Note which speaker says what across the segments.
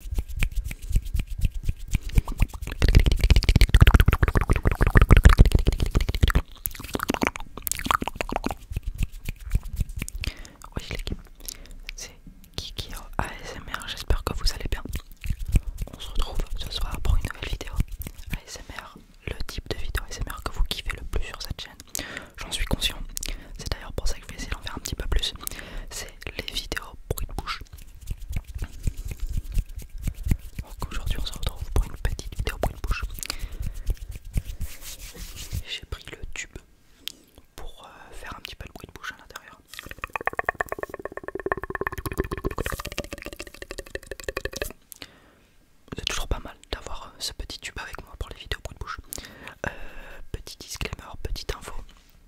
Speaker 1: Oui c'est Kiki ASMR, j'espère que vous allez bien. On se retrouve ce soir pour une nouvelle vidéo ASMR, le type de vidéo ASMR que vous kiffez le plus sur cette chaîne. J'en suis conscient, c'est d'ailleurs pour ça que je vais essayer d'en faire un petit peu plus les vidéos bruit de bouche. Donc aujourd'hui on se retrouve pour une petite vidéo bruit de bouche. J'ai pris le tube pour euh, faire un petit peu le bruit de bouche à l'intérieur. C'est toujours pas mal d'avoir euh, ce petit tube avec moi pour les vidéos bruit de bouche. Euh, petit disclaimer, petite info.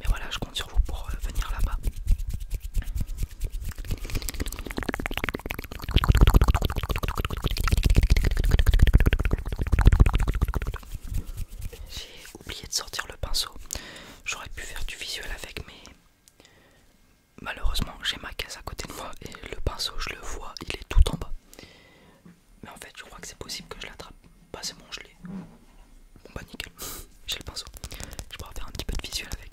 Speaker 1: mais voilà, je compte sur vous pour euh, venir là-bas. J'ai oublié de sortir le pinceau. J'aurais pu faire du visuel avec, mais malheureusement j'ai ma caisse à côté de moi et le pinceau, je le vois, il est tout en bas. Mais en fait, je crois que c'est possible que je l'attrape. pas. c'est bon, je l'ai. Bon bah nickel, j'ai le pinceau. Je pourrais faire un petit peu de visuel avec.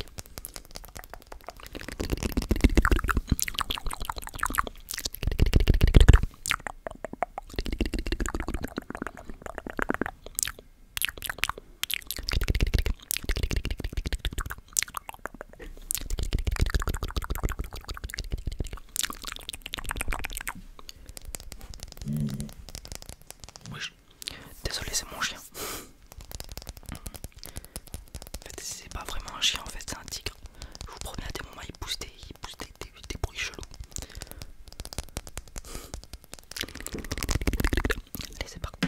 Speaker 1: Désolé, c'est mon chien. En fait, c'est pas vraiment un chien en fait, c'est un tigre. Je vous promets, à des moments, il pousse il des, bruits chelous. Allez, c'est parti.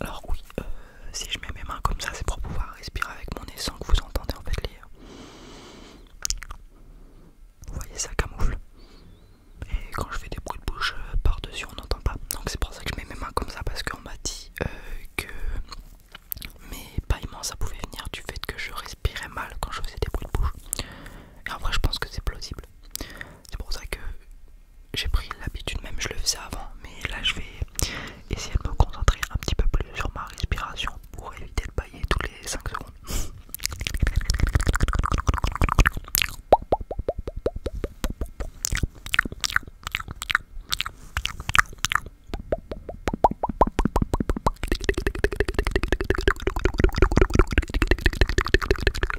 Speaker 1: Alors oui, euh, si je mets mes mains comme ça, c'est pour pouvoir respirer avec mon nez sans que vous entendez en fait les... Euh, vous voyez ça camoufle. Et quand je fais des bruits de bouche euh, par-dessus, on n'entend pas. Donc c'est pour ça que je mets mes mains comme ça parce qu'on m'a dit que mes paillements ça pouvait venir du fait que je respirais mal quand je faisais des bruits de bouche. Et en vrai je pense que c'est plausible. C'est pour ça que j'ai pris l'habitude, même je le faisais avant, mais là je vais essayer de me concentrer un petit peu plus sur ma respiration pour éviter de bailler tous les 5 secondes.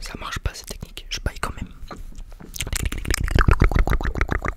Speaker 1: Ça marche pas cette technique, je paye quand même.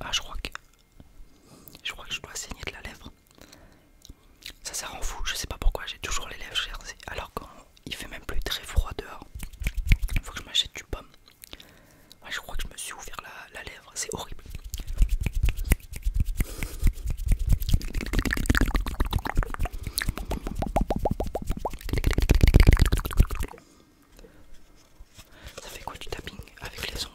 Speaker 1: Ah, je crois que je crois que je dois saigner de la lèvre. Ça, ça rend fou. Je sais pas pourquoi j'ai toujours les lèvres gercées alors qu'il fait même plus très froid dehors. il Faut que je m'achète du pomme je crois que je me suis ouvert la, la lèvre, c'est horrible. Ça fait quoi du tapping avec les ongles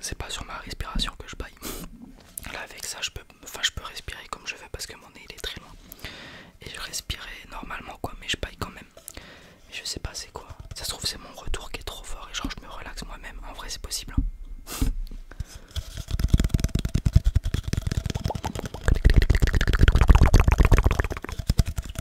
Speaker 1: C'est pas sur ma respiration que je baille. Là avec ça je peux je peux respirer comme je veux parce que mon nez il est très loin. Et je respirais normalement quoi mais je baille quand même. je sais pas c'est quoi. Ça se trouve c'est mon retour qui est trop fort et genre je me relaxe moi-même. En vrai c'est possible. Hein.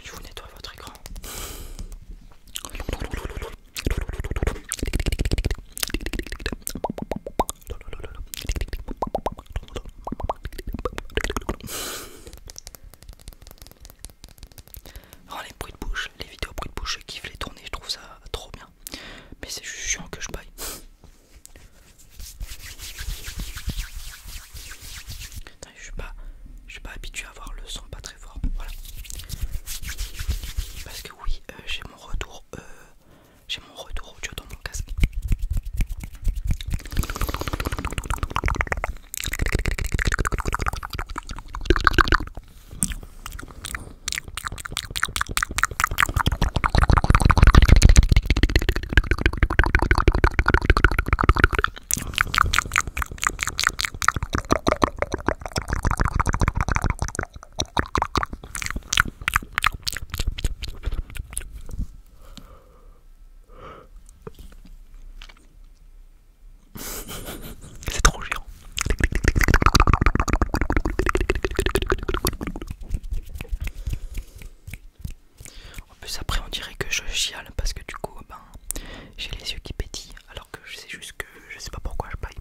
Speaker 1: Je vous nettoie votre écran. Alors oh, les bruits de bouche, les vidéos bruit de bouche, je kiffe les tourner, je trouve ça trop bien. Mais c'est juste chiant que je baille. je suis pas, suis pas habitué à voir le son pas très fort. Voilà. Parce que oui, euh, j'ai mon retour euh, J'ai mon retour audio dans mon casque. C'est trop géant. En plus après on dirait que je chiale parce que du coup eh ben j'ai les yeux qui pétillent alors que je sais juste que je sais pas pourquoi je baille.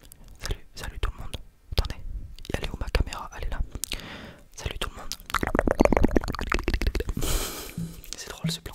Speaker 1: Salut, salut tout le monde. Attendez, elle est où ma caméra Allez là. Salut tout le monde. C'est drôle ce plan.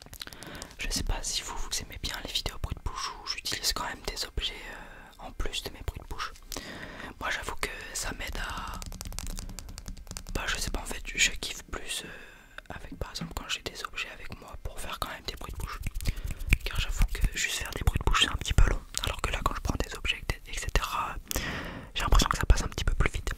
Speaker 1: Je sais pas si vous, vous aimez bien les vidéos bruit de bouche où j'utilise quand même des objets euh, en plus de mes bruits de bouche. Moi j'avoue que ça m'aide à... Bah je sais pas en fait, je kiffe plus euh, avec par exemple quand j'ai des objets avec moi pour faire quand même des bruits de bouche. Car j'avoue que juste faire des bruits de bouche c'est un petit peu long. Alors que là quand je prends des objets etc. J'ai l'impression que ça passe un petit peu plus vite.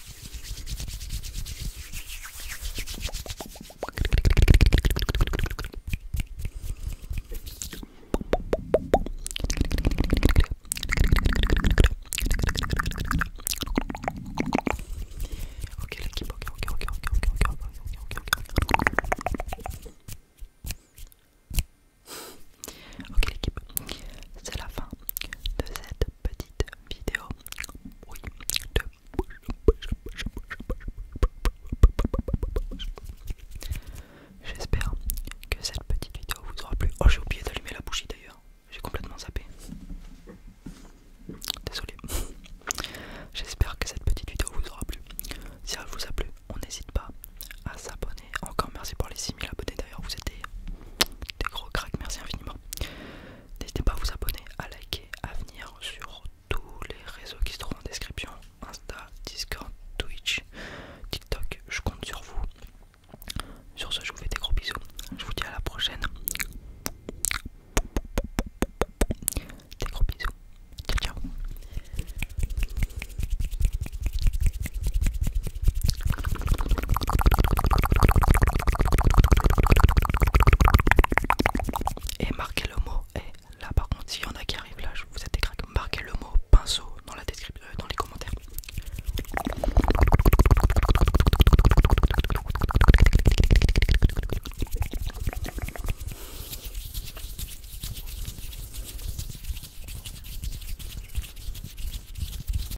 Speaker 1: Ok, l'équipe, c'est la fin de cette petite vidéo. Oui, de... J'espère que cette petite vidéo vous aura plu. Oh, j'ai oublié d'allumer la bougie d'ailleurs. J'ai complètement zappé. Désolé. J'espère que cette petite vidéo vous aura plu. Si elle vous a plu, on n'hésite pas à s'abonner. Encore merci pour les 6000 abonnés D'ailleurs, vous êtes des, gros cracks, merci infiniment. N'hésitez pas à vous abonner, à liker, à venir sur tous les réseaux qui se trouvent en description Insta, Discord, Twitch, TikTok. Je compte sur vous. Sur ce, je vous fais des gros bisous. Je vous dis à la prochaine. Des gros bisous. Ciao, ciao. Et marquez le mot. Et là, par contre, si y en a qui arrive là, je vous êtes Marquez le mot pinceau dans la description, euh, dans les commentaires.